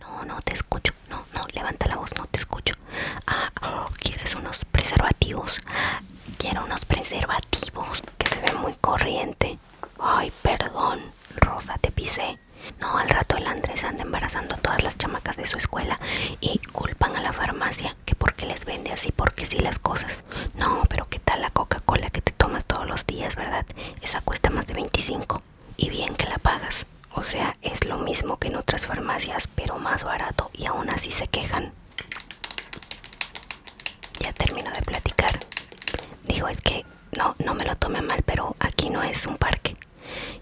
No, no te escucho. No, no, levanta la voz, no te escucho. Ah, oh, ¿quieres unos preservativos? Quiero unos preservativos que se ve muy corriente. Ay, perdón, Rosa, te pisé. No, al rato el Andrés anda embarazando a todas las chamacas de su escuela y culpan a la farmacia que porque les vende así, porque sí las cosas. No, pero ¿qué tal la Coca-Cola que te tomas todos los días, verdad? Esa cuesta más de 25 y bien que la pagas. O sea, es lo mismo que en otras farmacias, pero más barato y aún así se quejan. Ya termino de platicar. Dijo, es que no, no me lo tome mal, pero aquí no es un parque.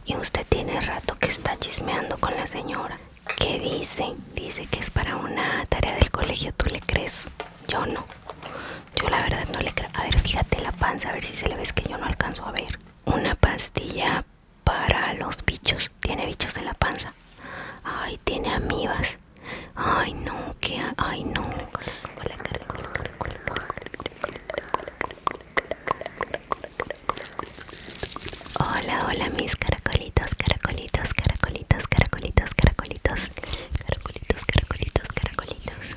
Y usted tiene rato que está chismeando con la señora. ¿Qué dice? Dice que es para una tarea del colegio. ¿Tú le crees? Yo no. Yo la verdad no le creo. A ver, fíjate la panza, a ver si se le ve que yo no alcanzo a ver una pastilla para los bichos. Tiene bichos en la panza. Ay, tiene amibas. Ay, no, que ay, no. Hola, hola mis caracolitos, caracolitos, caracolitos, caracolitos, caracolitos, caracolitos, caracolitos, caracolitos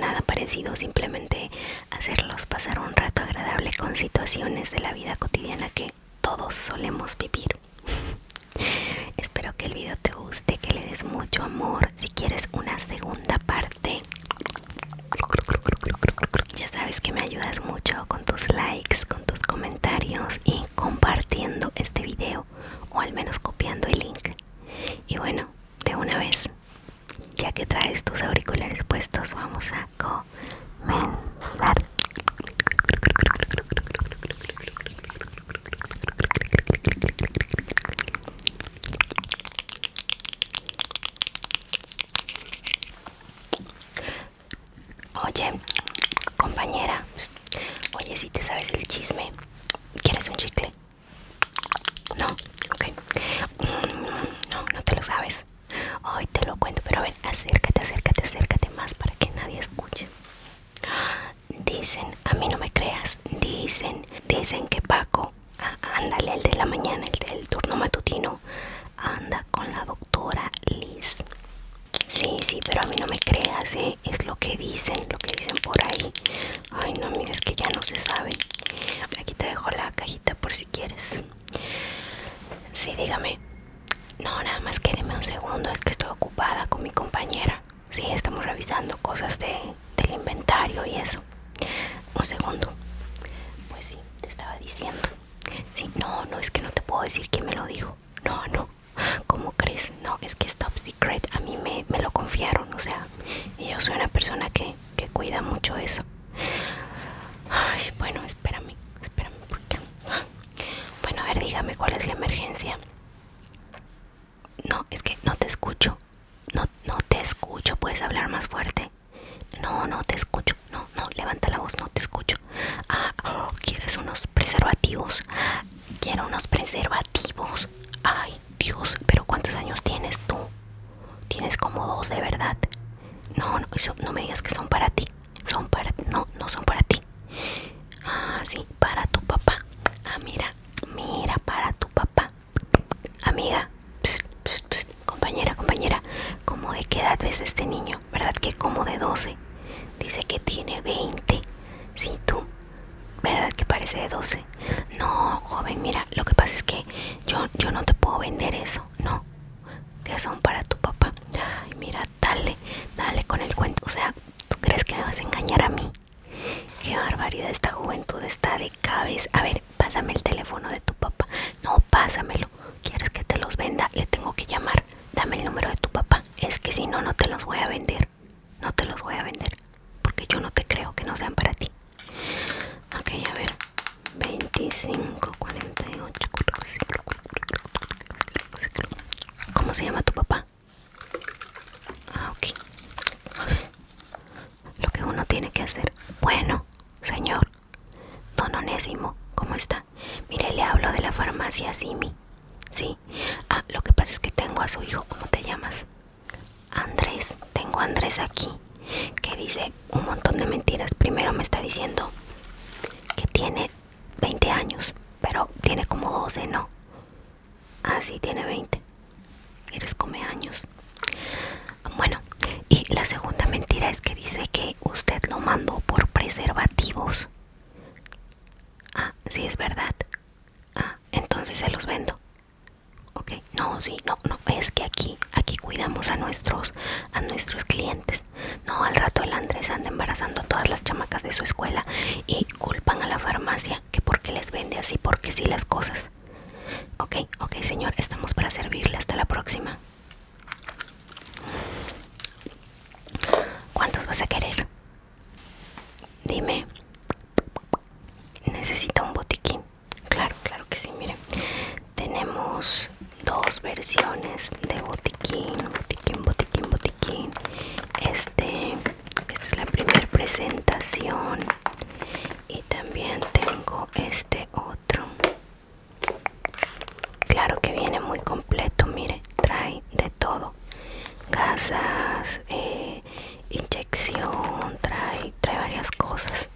nada parecido, simplemente hacerlos pasar un rato agradable con situaciones de la vida cotidiana que todos solemos vivir. Espero que el video te guste, que le des mucho amor. Si quieres una segunda parte, ya sabes que me ayudas mucho con tus likes, con tus comentarios y compartiendo este video o al menos copiando el link. Y bueno, de una vez ya que traes tus auriculares puestos, vamos a comenzar. Oye, compañera, oye, si te sabes el chisme, ¿quieres un chicle? No, ok. Mm, no, no te lo sabes. Hoy te lo cuento, pero acércate, acércate, acércate más para que nadie escuche. Dicen, a mí no me creas, dicen, dicen que Paco, ah, ándale, el de la mañana, el del turno matutino, anda con la doctora Liz. Sí, sí, pero a mí no me creas, ¿eh? es lo que dicen, lo que dicen por ahí. Ay, no, mira, es que ya no se sabe. Aquí te dejo la cajita por si quieres. Sí, dígame. No, nada más quédeme un segundo, es que estoy ocupada con mi compañera. si estamos revisando cosas de, del inventario y eso. Un segundo. Pues sí, te estaba diciendo. si no, no, es que no te puedo decir quién me lo dijo. No, no. como crees? No, es que es top secret. A mí me, me lo confiaron. O sea, yo soy una persona que que cuida mucho eso. Ay, bueno, espérame, espérame, Bueno, a ver, dígame cuál es la emergencia. No, es que no te escucho. No, no te escucho. Puedes hablar más fuerte. No, no te escucho. No, no, levanta la voz, no te escucho. Ah, oh, ¿quieres unos preservativos? Quiero unos preservativos. Ay, Dios, pero ¿cuántos años tienes tú? Tienes como dos, de verdad. No, no, me digas que son para ti. Son para No, no son para ti. Ah, sí, para tu papá. Ah, mira, mira, para tu papá. Amiga, compañera, compañera, como de qué edad ves este niño? ¿Verdad que como de 12? Dice que tiene 20. Sí, tú. ¿Verdad que parece de 12? No, joven, mira, lo que pasa es que yo, yo no te puedo vender eso, no. Que son para tu papá. Ay, mira, dale, dale con el cuento. O sea, ¿tú crees que me vas a engañar a mí? Qué barbaridad, esta juventud está de cabeza. A ver, pásame el teléfono de tu papá. No, pásamelo. ¿Quieres que te los venda? Le tengo que llamar. Dame el número de tu papá. Es que si no, no te los voy a vender. No te los voy a vender. Porque yo no te creo que no sean para ti. Ok, a ver. 25, 48. ¿Cómo se llama tu papá? Ah, ok. Lo que uno tiene que hacer. Bueno, señor. Don Onésimo, ¿cómo está? Mire, le hablo de la farmacia Simi. Sí. Ah, lo que pasa es que tengo a su hijo. ¿Cómo te llamas? Andrés, tengo a Andrés aquí, que dice un montón de mentiras. Primero me está diciendo que tiene 20 años, pero tiene como 12, ¿no? Ah, sí, tiene 20. Eres come años. Bueno, y la segunda mentira es que dice que usted lo mandó por preservativos. Ah, sí, es verdad. Ah, entonces se los vendo. Ok, no, sí, no, no, es que aquí, aquí cuidamos a nuestros, a nuestros clientes. No, al rato el Andrés anda embarazando a todas las chamacas de su escuela y culpan a la farmacia que porque les vende así, porque sí las cosas. Ok, ok, señor, estamos para servirle. Hasta la próxima. ¿Cuántos vas a querer? Dime. Necesito un botiquín. Claro, claro que sí, Mire, Tenemos dos versiones de botiquín, botiquín, botiquín, botiquín. Este, es la primera presentación. Y también tengo este otro. Claro que viene muy completo, mire, trae de todo. casas, eh, inyección, trae, trae varias cosas.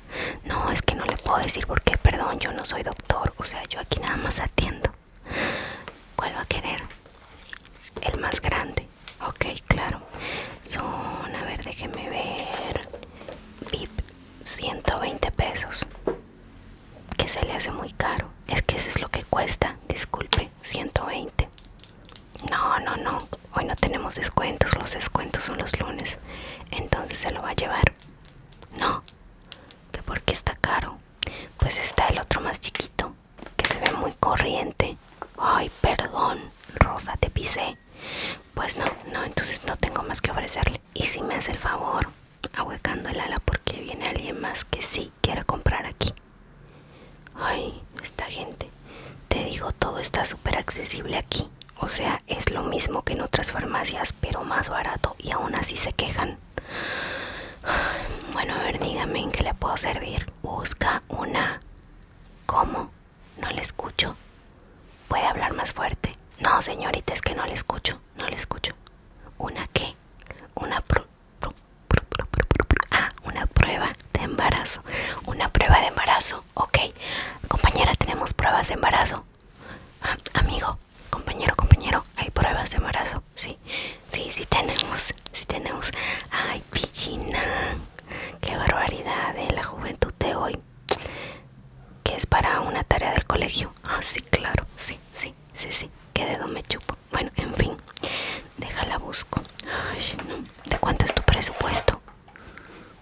No, es que no le puedo decir porque, perdón, yo no soy doctor, o sea, yo aquí nada más atiendo. ¿Cuál va a querer? El más grande. Ok, claro. Son, a ver, déjeme ver. VIP, 120 pesos. Que se le hace muy caro. Es que eso es lo que cuesta. Disculpe, 120. No, no, no. Hoy no tenemos descuentos, los descuentos son los lunes. Entonces se lo va a llevar. No, que porque está caro. Pues está el otro más chiquito, que se ve muy corriente. Ay, perdón, Rosa, te pisé. Pues no, no, entonces no tengo más que ofrecerle. Y si me hace el favor, ahuecando el ala porque viene alguien más que sí quiera comprar aquí. Ay, esta gente. Te digo, todo está súper accesible aquí. O sea, es lo mismo que en otras farmacias, pero más barato y aún así se quejan. Bueno, a ver, dígame en qué le puedo servir. Busca una... ¿Cómo? No le escucho. ¿Puede hablar más fuerte? No, señorita, es que no le escucho. No le escucho. ¿Una qué? Una... Ah, una prueba de embarazo. Una prueba de embarazo. Ok. Compañera, tenemos pruebas de embarazo. Ah, amigo, compañero, compañero, hay pruebas de embarazo. Sí, sí, sí tenemos. Sí tenemos. Ay, pichina. Qué barbaridad de eh, la juventud de hoy. Que es para una tarea del colegio. Ah, sí, claro. Sí, sí, sí, sí. Qué dedo me chupo. Bueno, en fin. Déjala busco. Ay, ¿De cuánto es tu presupuesto?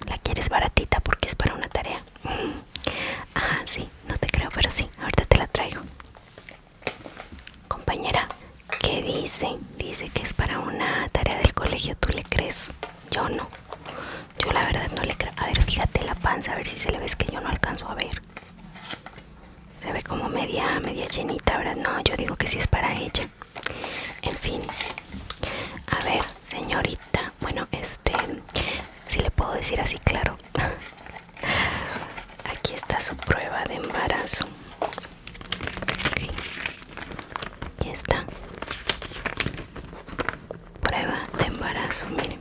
La quieres baratita porque es para una tarea. Ah, sí, no te creo, pero sí, ahorita te la traigo. Compañera, ¿qué dice? Dice que es para una tarea del colegio, ¿tú le crees? Yo no. Yo la verdad no le creo. A ver, fíjate la panza, a ver si se le ve que yo no alcanzo a ver. Se ve como media, media llenita, ahora No, yo digo que sí es para ella. En fin. A ver, señorita, bueno, este, si le puedo decir así, claro. Aquí está su prueba de embarazo. Aquí está. Prueba de embarazo, miren.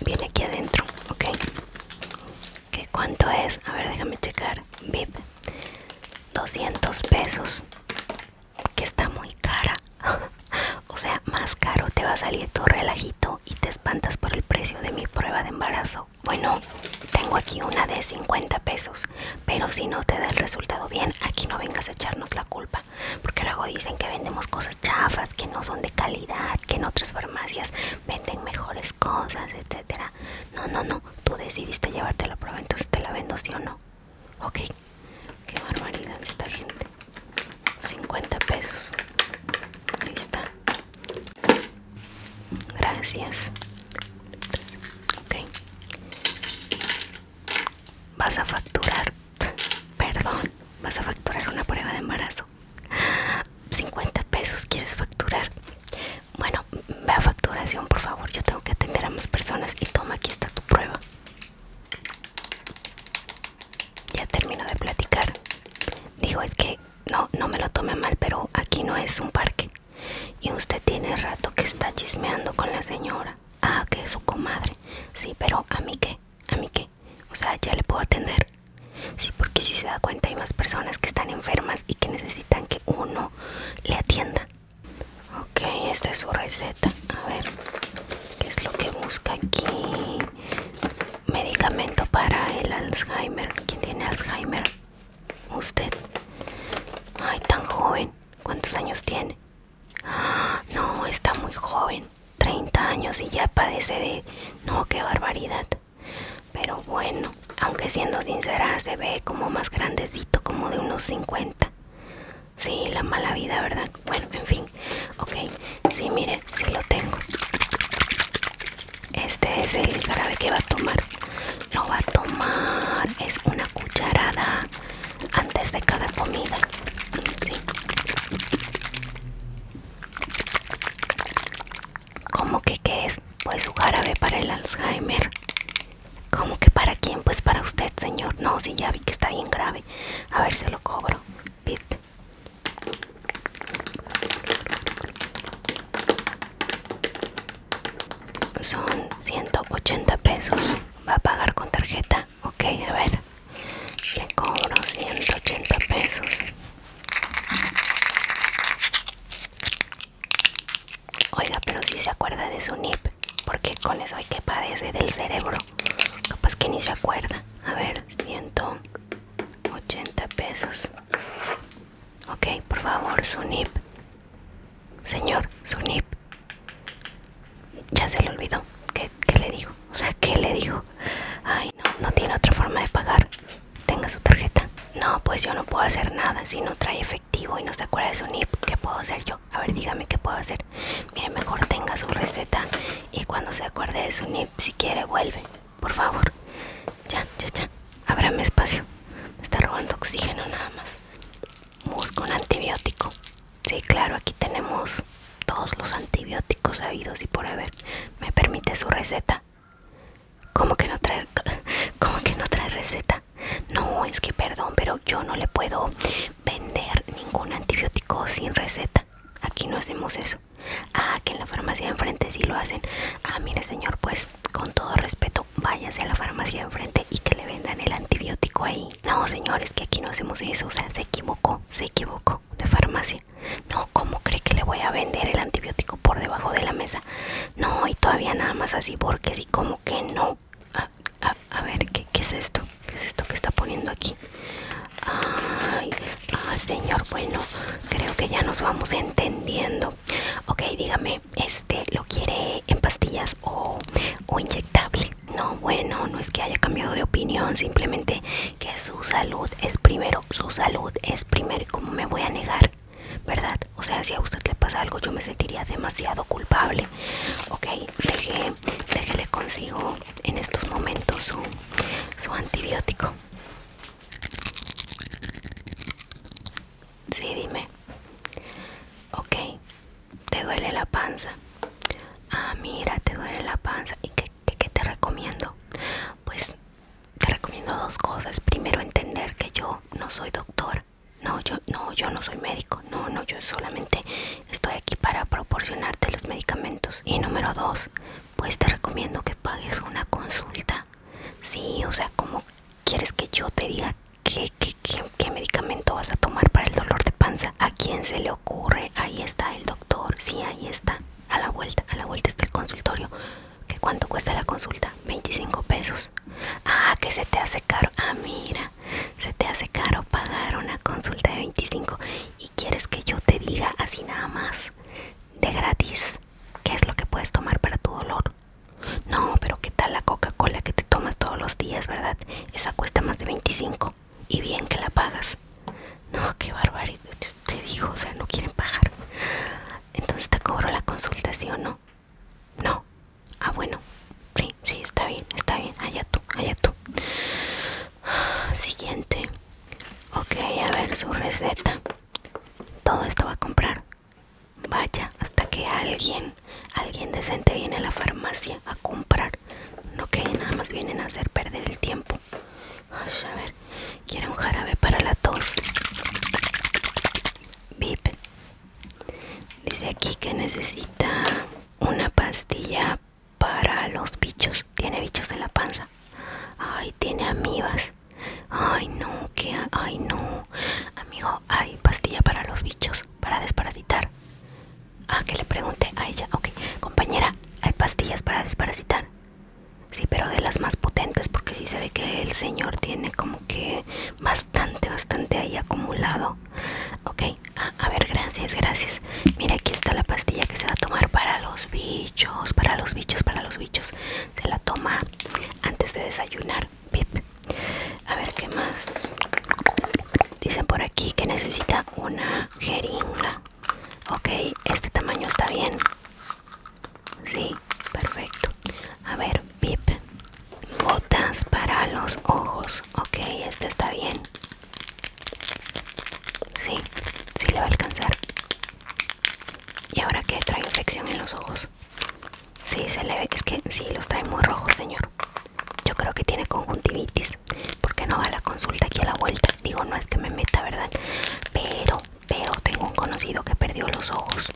Viene aquí adentro, ok. ¿Qué cuánto es? A ver, déjame checar. VIP 200 pesos. Que está muy cara. o sea, más caro te va a salir tu relajito y te espantas por el precio de mi prueba de embarazo. Bueno, tengo aquí una de 50 pesos, pero si no te da el resultado bien, aquí no vengas a echarnos la culpa, porque luego dicen que vendemos cosas chafas, que no son de calidad, que en otras farmacias venden mejores cosas, etcétera. No, no, no. Tú decidiste llevarte la prueba, entonces te la vendo, sí o no. Ok. Qué barbaridad esta gente. 50 pesos. Ahí está. Gracias. Ok. Vas a facturar. Perdón. Vas a facturar una prueba de embarazo. 50 pesos quieres facturar. Bueno, ve a facturación, por favor. Yo tengo que atender a más personas. Y toma, aquí está tu prueba. Ya termino de platicar. dijo es que no, no me lo tome mal, pero aquí no es un parque. Y usted tiene rato que está chismeando con la señora. Ah, que es su comadre. Sí, pero a mí qué, a mí qué. O sea, ya le puedo atender. Sí, porque si se da cuenta hay más personas que están enfermas y que necesitan necesitan que uno le atienda. Ok, esta es su receta. A ver, ¿qué es lo que busca aquí? Medicamento para el Alzheimer. ¿Quién tiene Alzheimer? Usted. Ay, tan joven. ¿Cuántos años tiene? Ah, no, está muy joven. 30 años y ya padece de... No, qué barbaridad. Pero bueno, aunque siendo sincera se ve como más grandecito, como de unos 50. Sí, la mala vida, ¿verdad? Bueno, en fin. Ok, sí, mire, sí lo tengo. Este es el jarabe que va a tomar. No va a tomar, es una cucharada antes de cada comida. Sí. ¿Cómo que qué es? Pues su jarabe para el Alzheimer. ¿Cómo que para quién? Pues para usted, señor. No, si ya vi que está bien grave. A ver, se lo cobro. Pip. Son 180 pesos. Va a pagar con tarjeta. Ok, a ver. Le cobro 180 pesos. Oiga, pero si se acuerda de su NIP, porque con eso hay que padecer del cerebro. Capaz que ni se acuerda. A ver, 180 pesos. Ok, por favor, su Señor, su Ya se le olvidó. ¿Qué, le dijo? O sea, ¿qué le dijo? Ay, no, no tiene otra forma de pagar tenga su tarjeta. No, pues yo no puedo hacer nada si no trae efectivo y no se acuerda de su NIP. ¿Qué puedo hacer yo? A ver, dígame qué puedo hacer. Mire, mejor tenga su receta y cuando se acuerde de su NIP, si quiere, vuelve. Por favor. Ya, ya, ya. Ábrame espacio. está robando oxígeno nada más. Busco un antibiótico. Sí, claro, aquí tenemos todos los antibióticos habidos y por haber. ¿Me permite su receta? ¿Cómo que no trae, que no trae receta? No, es que perdón, pero yo no le puedo vender ningún antibiótico sin receta. Aquí no hacemos eso. Ah, que en la farmacia de enfrente sí lo hacen. Ah, mire señor, pues con todo respeto, váyase a la farmacia de enfrente y que le vendan el antibiótico ahí. No, señores, que aquí no hacemos eso. O sea, se equivocó, se equivocó de farmacia. No, ¿cómo cree que le voy a vender el antibiótico por debajo de la mesa? No, y todavía nada más así porque sí, como que no. A, ver, ¿qué, es esto? ¿Qué es esto que está poniendo aquí? Ay, ah, señor, bueno, creo que ya nos vamos entendiendo. Ok, dígame, este, ¿lo quiere en pastillas o, inyectable? No, bueno, no es que haya cambiado de opinión, simplemente que su salud es primero, su salud es primero. ¿Y cómo me voy a negar ¿verdad? O sea, si a usted le pasa algo, yo me sentiría demasiado culpable. Ok, deje, déjele consigo en estos momentos su, antibiótico. Sí, dime. Ok, te duele la panza. Ah, mira, te duele la panza. ¿Y qué te recomiendo? Pues te recomiendo dos cosas. Primero, entender que yo no soy doctor. No, yo no, yo no soy médico. No, no, yo solamente estoy aquí para proporcionarte los medicamentos. Y número dos, pues te recomiendo que pagues una consulta. Sí, o sea, ¿cómo quieres que yo te diga qué, qué, qué, qué medicamento vas a tomar para el dolor de panza? ¿A quién se le ocurre? Ahí está el doctor. Sí, ahí está. A la vuelta, a la vuelta está el consultorio. ¿Qué cuánto cuesta la consulta? 25 pesos. Ah, que se te hace caro. Ah, mira, se te hace caro pagar una consulta de 25 y quieres que yo te diga así nada más, de gratis, qué es lo que puedes tomar para tu dolor. No, pero qué tal la Coca-Cola que te tomas todos los días, ¿verdad? Esa cuesta más de 25 y bien que la pagas. No, qué barbaridad, te dijo, o sea, no quieren pagar. Entonces te cobro la consulta, ¿sí ¿no? No. Ah, bueno. Sí, sí, está bien, está bien. Allá tú, allá tú. Siguiente. Ok, a ver su receta. Todo esto va a comprar. Vaya, hasta que alguien, alguien decente viene a la farmacia a comprar. No que nada más vienen a hacer perder el tiempo. a ver, quiero un jarabe para la tos. Vip dice aquí que necesita una pastilla para los bichos tiene bichos en la panza ay tiene amibas ay no que ay no amigo hay pastilla para los bichos para desparasitar ah que le pregunte a ella ok compañera hay pastillas para desparasitar sí pero de las más potentes porque sí se ve que el señor tiene como que bastante, bastante ahí acumulado. Ok, a ver, gracias, gracias. Mira, aquí está la pastilla que se va a tomar para los bichos, para los bichos, para los bichos. Se la toma antes de desayunar. Pip. A ver, ¿qué más? Dicen por aquí que necesita una jeringa. Ok, este tamaño está bien. Sí, perfecto. A ver, pip. Botas para los ojos. Ok, este está bien. Sí, sí le va a alcanzar. ¿Y ahora que trae infección en los ojos? Sí, se le ve. Es que sí, los trae muy rojos, señor. Yo creo que tiene conjuntivitis. Porque no va a la consulta aquí a la vuelta. Digo, no es que me meta, ¿verdad? Pero veo, tengo un conocido que perdió los ojos.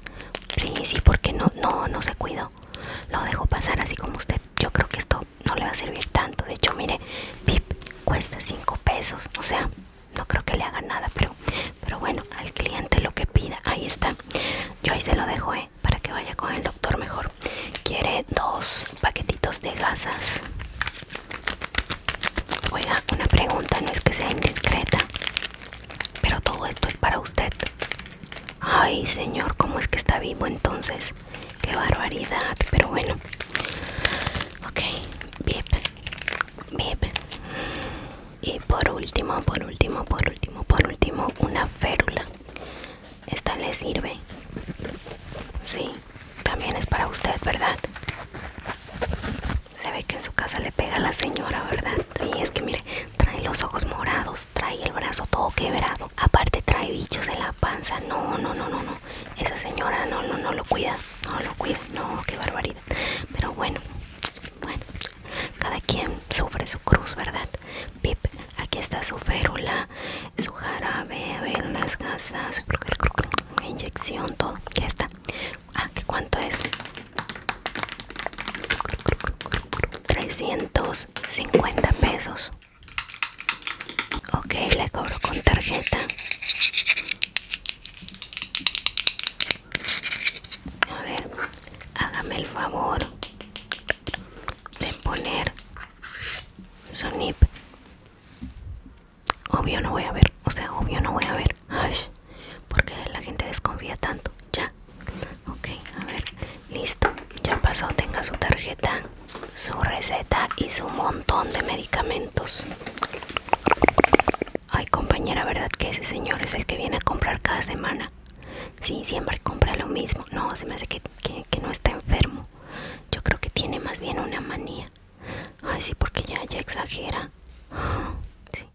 Sí, sí, porque no, no, no se cuidó. Lo dejo pasar así como usted. Yo creo que esto no le va a servir tanto. De hecho, mire, pip, cuesta 5 pesos. O sea, no creo que le haga nada, pero, pero bueno, al cliente lo que pida. Ahí está. Yo ahí se lo dejo, ¿eh? Para que vaya con el doctor mejor. Quiere dos paquetitos de gasas. Oiga, una pregunta, no es que sea indiscreta. Pero todo esto es para usted. Ay, señor, ¿cómo es que está vivo entonces? Qué barbaridad, pero bueno. Ok, Y por último, por último, por último, por último, una férula. Esta le sirve. Sí, también es para usted, ¿verdad? Se ve que en su casa le pega a la señora, ¿verdad? Y es que mire, trae los ojos morados, trae el brazo todo quebrado. Aparte trae bichos en la panza. No, no, no, no, no. Esa señora no, no, no lo cuida. No lo cuida. No, qué barbaridad. Pero bueno, bueno. Cada quien sufre su cruz, ¿verdad? Pip, aquí está su férula, su jarabe, las gasas, inyección, todo. Ya está. Ah, ¿qué cuánto es? 350 pesos ok le cobro con tarjeta a ver hágame el favor de poner su obvio no voy a ver o sea obvio no voy a ver ay, porque la gente desconfía tanto. Ya, ok, a ver, listo. Ya pasó, tenga su tarjeta, su receta y su montón de medicamentos. Ay, compañera, ¿verdad que ese señor es el que viene a comprar cada semana? Sí, siempre compra lo mismo. No, se me hace que, no está enfermo. Yo creo que tiene más bien una manía. Ay, sí, porque ya, ya exagera. Sí.